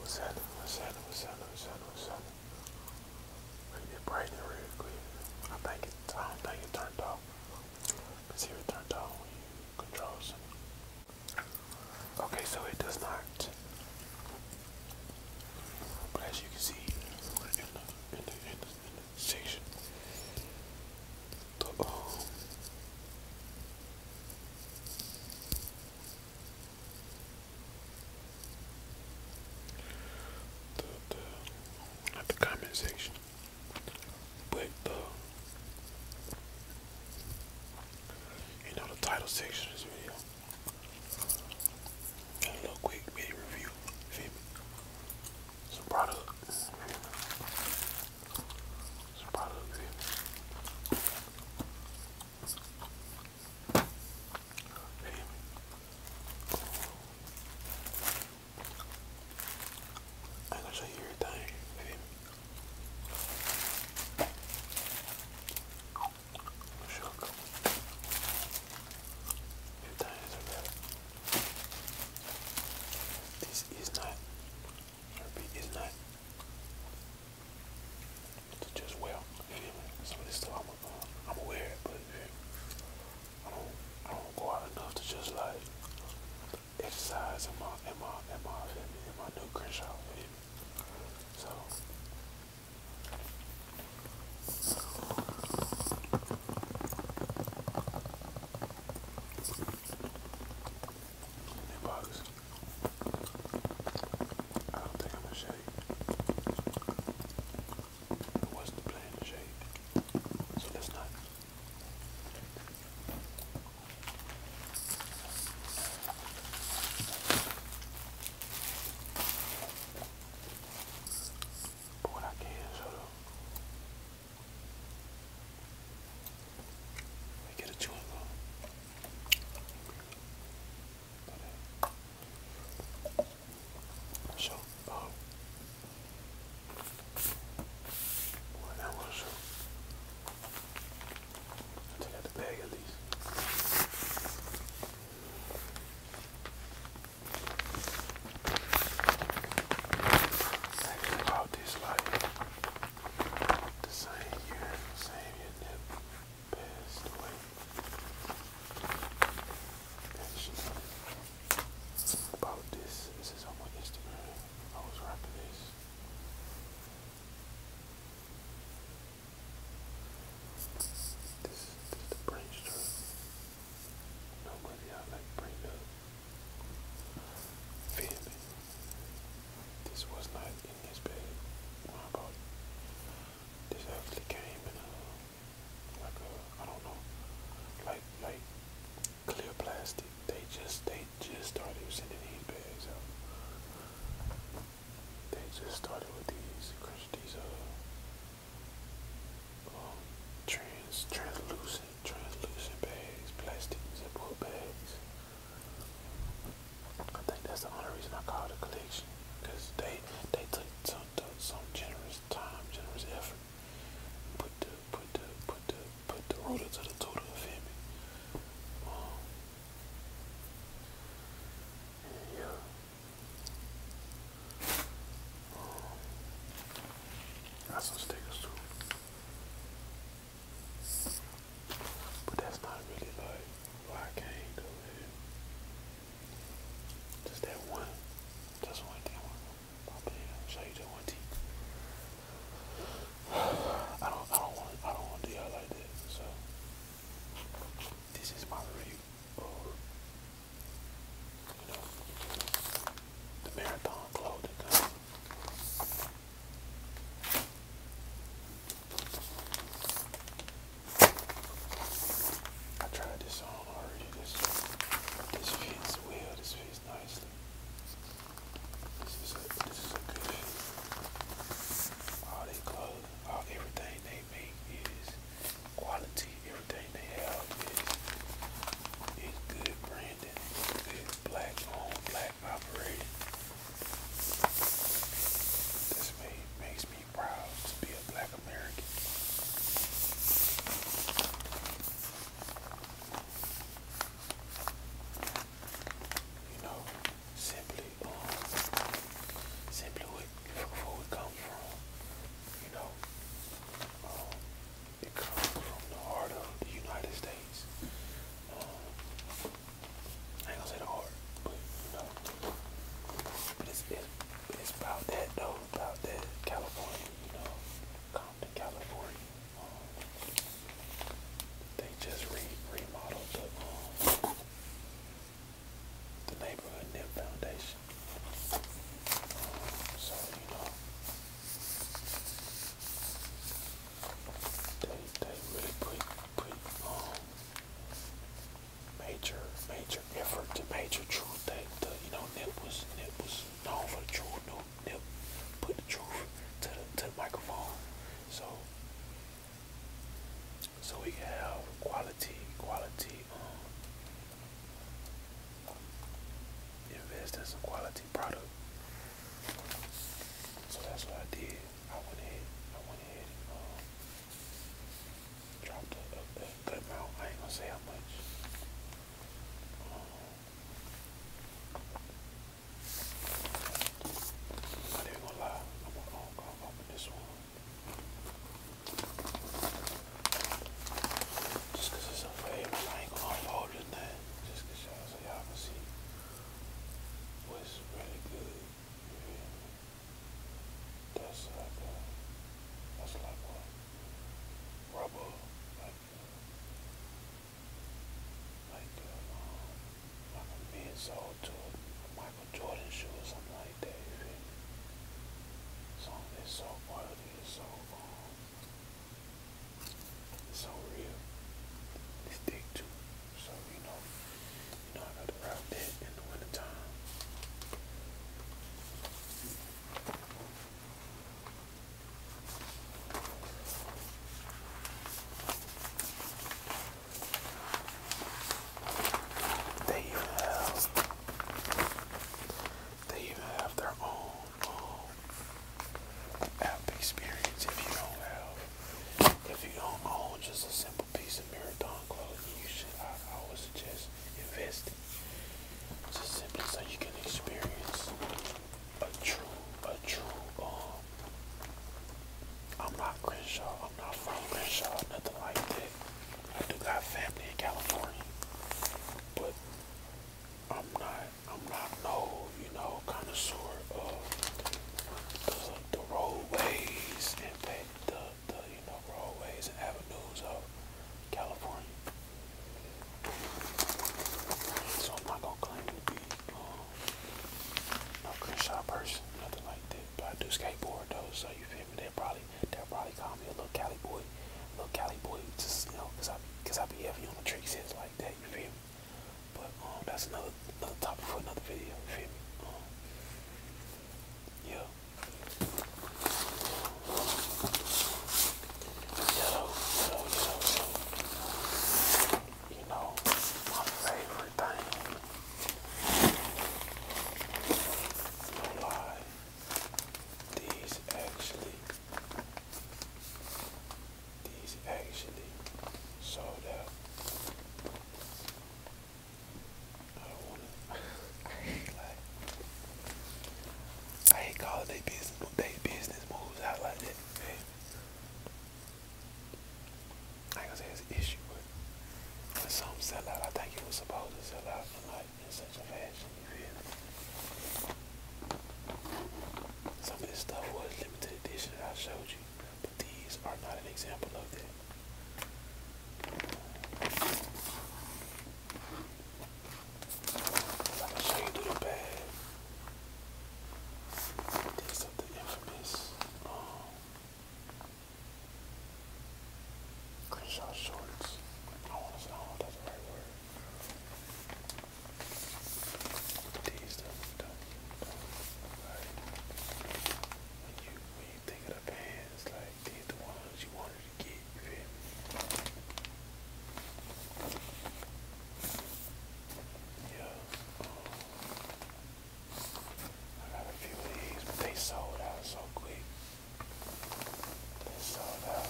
What's happening? What's happening? What's happening? What's happening? What's happening? Leave it real quick. I think it. I don't think it turned off. Let's it turned off when you control something. Okay, so it does not. But as you can see, in the in the in the station. Um, the, the, not the comment but the, you know, the title section of this video. Got a little quick mini review, some product. Some product here. Hey. I gotta show you everything, baby. Shook. Everything is about this is not, I is not to just well. Some this stuff I'm, uh, I'm aware of, but I don't, I don't go out enough to just like exercise in my, in my, in my, in my new Crenshaw. So. Hey, bugs. I don't think I'm gonna shake. wasn't the plan so let's not. But I can show though I get a chewing gum. So, um, what I uh, I take out bag at least. Actually about this like the same year, same year that passed away. about this, this is on my Instagram. I was rapping this. This, this the branch Nobody I like bring up. Fifth, this was not in this bag when I bought it. This actually came in a, like a, I don't know, like, like clear plastic. They just, they just started sending these bags out. They just started with these, these, uh, trans translucent translucent bags, plastic zipper bags. I think that's the only reason I call it a collection, cause they they took some generous time, generous effort, put the put the put the put the rotor to the total of him. Um, yeah, that's some stickers too. But that's not really why I came to Just that one. Just one thing. I'll be show you just one teeth. I don't I don't want I don't want to like that. So this is my review the marathon clothing I tried this on already. This this fits well. This fits nicely. This is a this is a good fit. All they clothes, all everything they is quality. Everything they have is, good branding, good black owned, black operated. This made, makes me proud to be a black American. You know, simply, um, simply where we come from, you know, um, it comes from the heart of the United States. Um, I ain't gonna say the heart, but you know, but it's, it's, it's about that though, about that California, you know, Compton, California. Um, they just re remodeled the, um, the neighborhood NIM Foundation. So, you know, they, they really put, put um, major, major effort to major truth. They, you know, NIP was, NIP was known for the truth. NIP put the truth to the, to the microphone. So, so we have quality, quality um, invest in some quality product. So that's what I did. I went ahead, I went ahead and uh, dropped a, good amount. I ain't gonna say how much. Um, I'm gonna lie. I'm gonna, I'm going this one. Just cause it's a wave, I ain't gonna unfold it. Then, Just cause y'all so y'all see what's really good. That's like a, uh, that's like a rubber, like a, uh, uh, like a, um, like to Jordan shoe or something like that. You that's so quality, so um, so real. It's thick too. So you know, you know I gotta rock that in the winter they even have they even have their own um, app experience if you don't have if you don't own just a simple piece of marathon clothing you should I, I would suggest investing just simply so you can experience a true a true um I'm not Crenshaw not from Crenshaw, nothing like that. I do got family in California, but I'm not, I'm not no, you know, connoisseur of the, the roadways and the, the, you know, roadways and avenues of California. So I'm not gonna claim to be um, no Crenshaw person, nothing like that. But I do skateboard though, so you feel whatever, they'll probably they'll probably call me a little Cali boy, little Cali boy, just you know, cause I cause I be heavy on the trick sets like that. You feel me? But um, that's another another topic for another video. You feel me? Um, yeah. Yellow, yellow, yellow, yellow. You know, my favorite. No lie. These actually these actually sold out. I do like I hate calling they business they business moves out like that, man. I ain't going say it's an issue, but some sell out, I think it was supposed to sell out in like in such a fashion, you feel Some of this stuff was limited edition that I showed you, but these are not an example of that. I can show you through the bag. These are the infamous um, Crenshaw shorts. I want to say, that's the right word. These don't, when you, when you think of the pants, like, these the ones you wanted to get, you feel me? Yeah, I got a few of these, but they sold out so quick. They sold out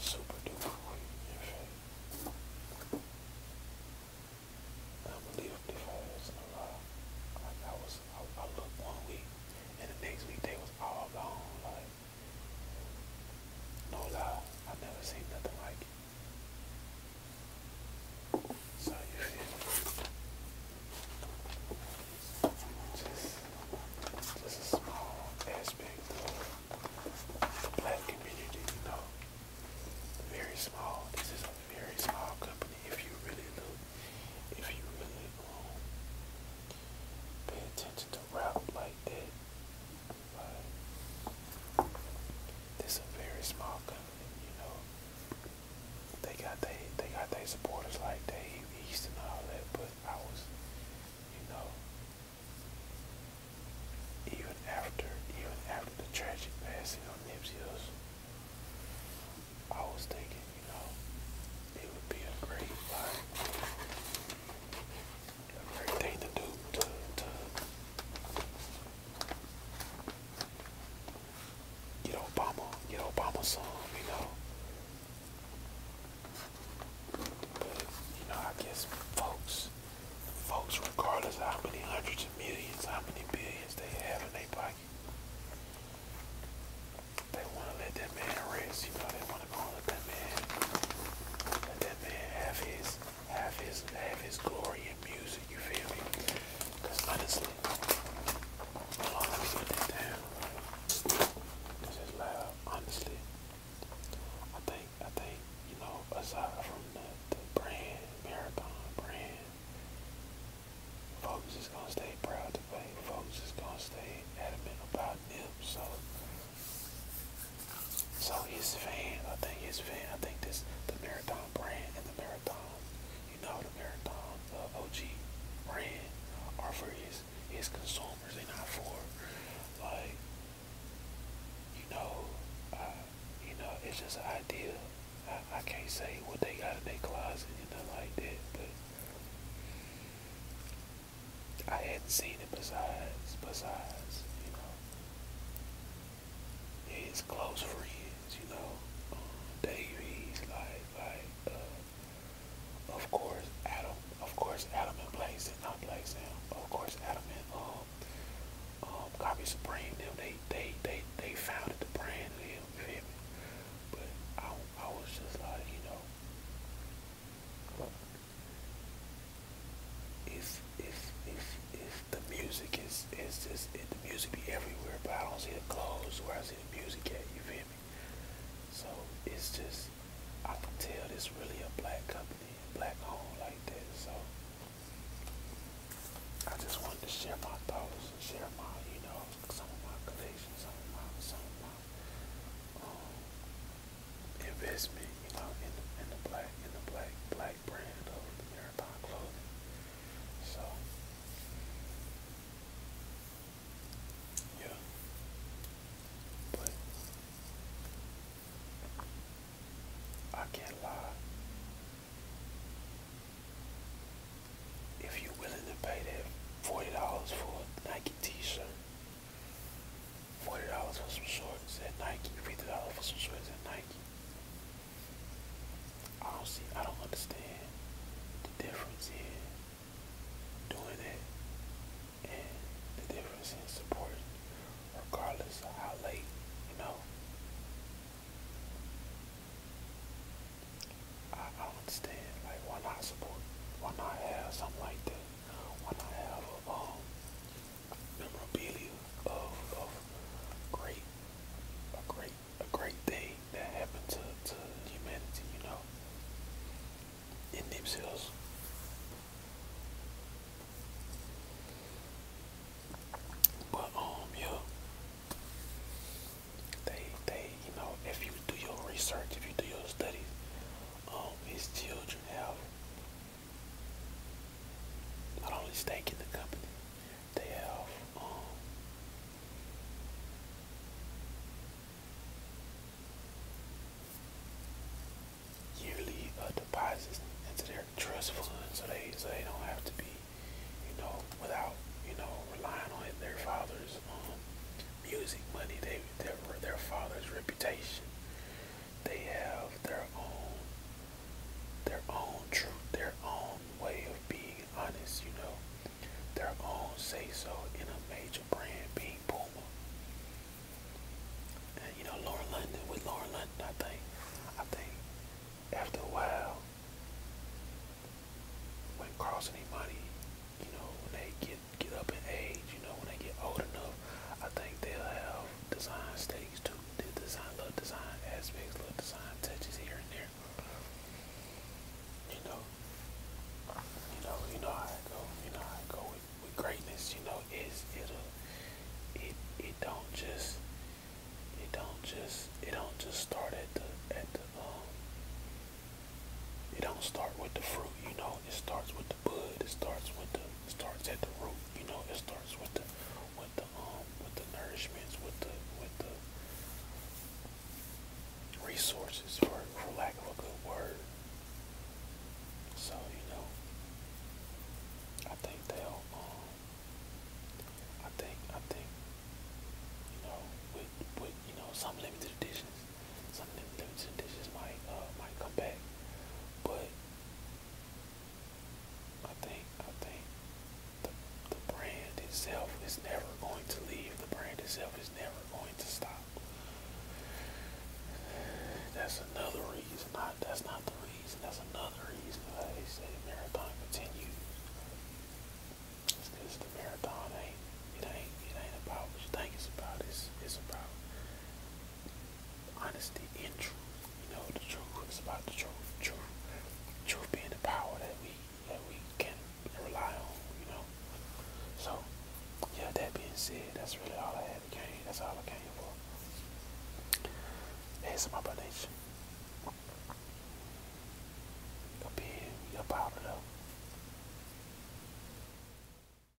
super duper quick. In fact, unbelievably fast. No lie. I was, I looked one week, and the next week they was all gone. Like no lie, I never seen nothing like it. So you feel just, just a small aspect of the black community, you know. Very small. This is a very small company if you really look, if you really pay attention to rap like that. Like, this a very small company you know, they got they they got their supporters like Dave East and all that, but I was, you know, even after even after the tragic passing of Nipsey I was thinking, you know, it would be a great like a great thing to do to to Get Obama, get Obama some, you know. But you know, I guess folks, folks, regardless how many hundreds of millions, how many billions they have in their pocket, they want to let that man rest. You know, they want to let that man, let that man have his have his have his glory in music, you feel me? honestly, hold on, let me put down. This is loud, honestly. I think I think, you know, aside from the, the brand, marathon brand, folks is gonna stay proud today. Folks is gonna stay adamant about them, so so his fan, I think his fan, I think this the marathon marathon brand and the marathons, you know, the marathons of OG brand are for his, his consumers. They're not for, like, you know, uh, you know, it's just an idea. I, I can't say what they got in their closet and nothing like that, but I hadn't seen it besides, besides, you know, his close friends, you know, um, Davies, like, like, uh, of course, Adam, of course, Adam and Blaze, not Blaze now, of course, Adam and, um, um, Copy Supreme, they, they, they, they founded the brand, them, you But I, I was just like, you know, it's it's it's it's the music is is just it, the music be everywhere, but I don't see the clothes where I see the music at. You feel me? So it's just I can tell it's really a black company, black home like that. So I just wanted to share my thoughts and share my you know some of my collection, some of my some of my um, investment, you know, in the, in the black in the black black brand of marathon clothing. So yeah. But I can't lie. If you're willing to pay that forty dollars for a Nike T-shirt, forty dollars for some shorts at Nike, fifty dollars for some shorts at Nike. I don't see I don't understand the difference in doing that and the difference in support, regardless of how late, you know. I, I don't understand, like why not support, why not have something like that, why not have a ball? Um, memorabilia of, of great, a great, a great thing that happened to, to humanity, you know, in themselves. But um, yeah, they, they, you know, if you do your research, if you do your studies, um, his children have not only stake in the company, they have um, yearly uh, deposits into their trust fund, so they so they don't have to be, you know, without you know relying on their father's um, music money, they their their father's reputation. They have their own their own truth, their own way of being honest, you know, their own say so in a major brand being Puma. And you know, Lauren London with Lauren London, I think, I think after a while, when Carlson and Imani, you know, when they get get up in age, you know, when they get old enough, I think they'll have design stakes too. The design, little design aspects, little design touches here and there. You know, you know, you know how I go. You know how I go with, with greatness. You know, it's it'll it it don't just it don't just it don't just start at the at the um it don't start with the fruit. You know, it starts with the bud. It starts with the it starts at the root. You know, it starts with the with the um with the nourishments, with the with the resources, for for lack of a good word. So you know, I think they'll um I think I think you know with with you know some limited editions, some limited editions might uh might come back, but I think I think the the brand itself is never going to leave. The brand itself is never going to stop. That's another reason. Not that's not the reason. That's another reason why they say the marathon continues. It's because the marathon ain't it ain't it ain't about what you think it's about. It's it's about honesty and truth. You know, the truth is about the truth. Truth, truth being the power that we that we can rely on. You know. So, yeah. That being said, that's really all I had to gain. That's all I came for. That's my donation. Up here, we up out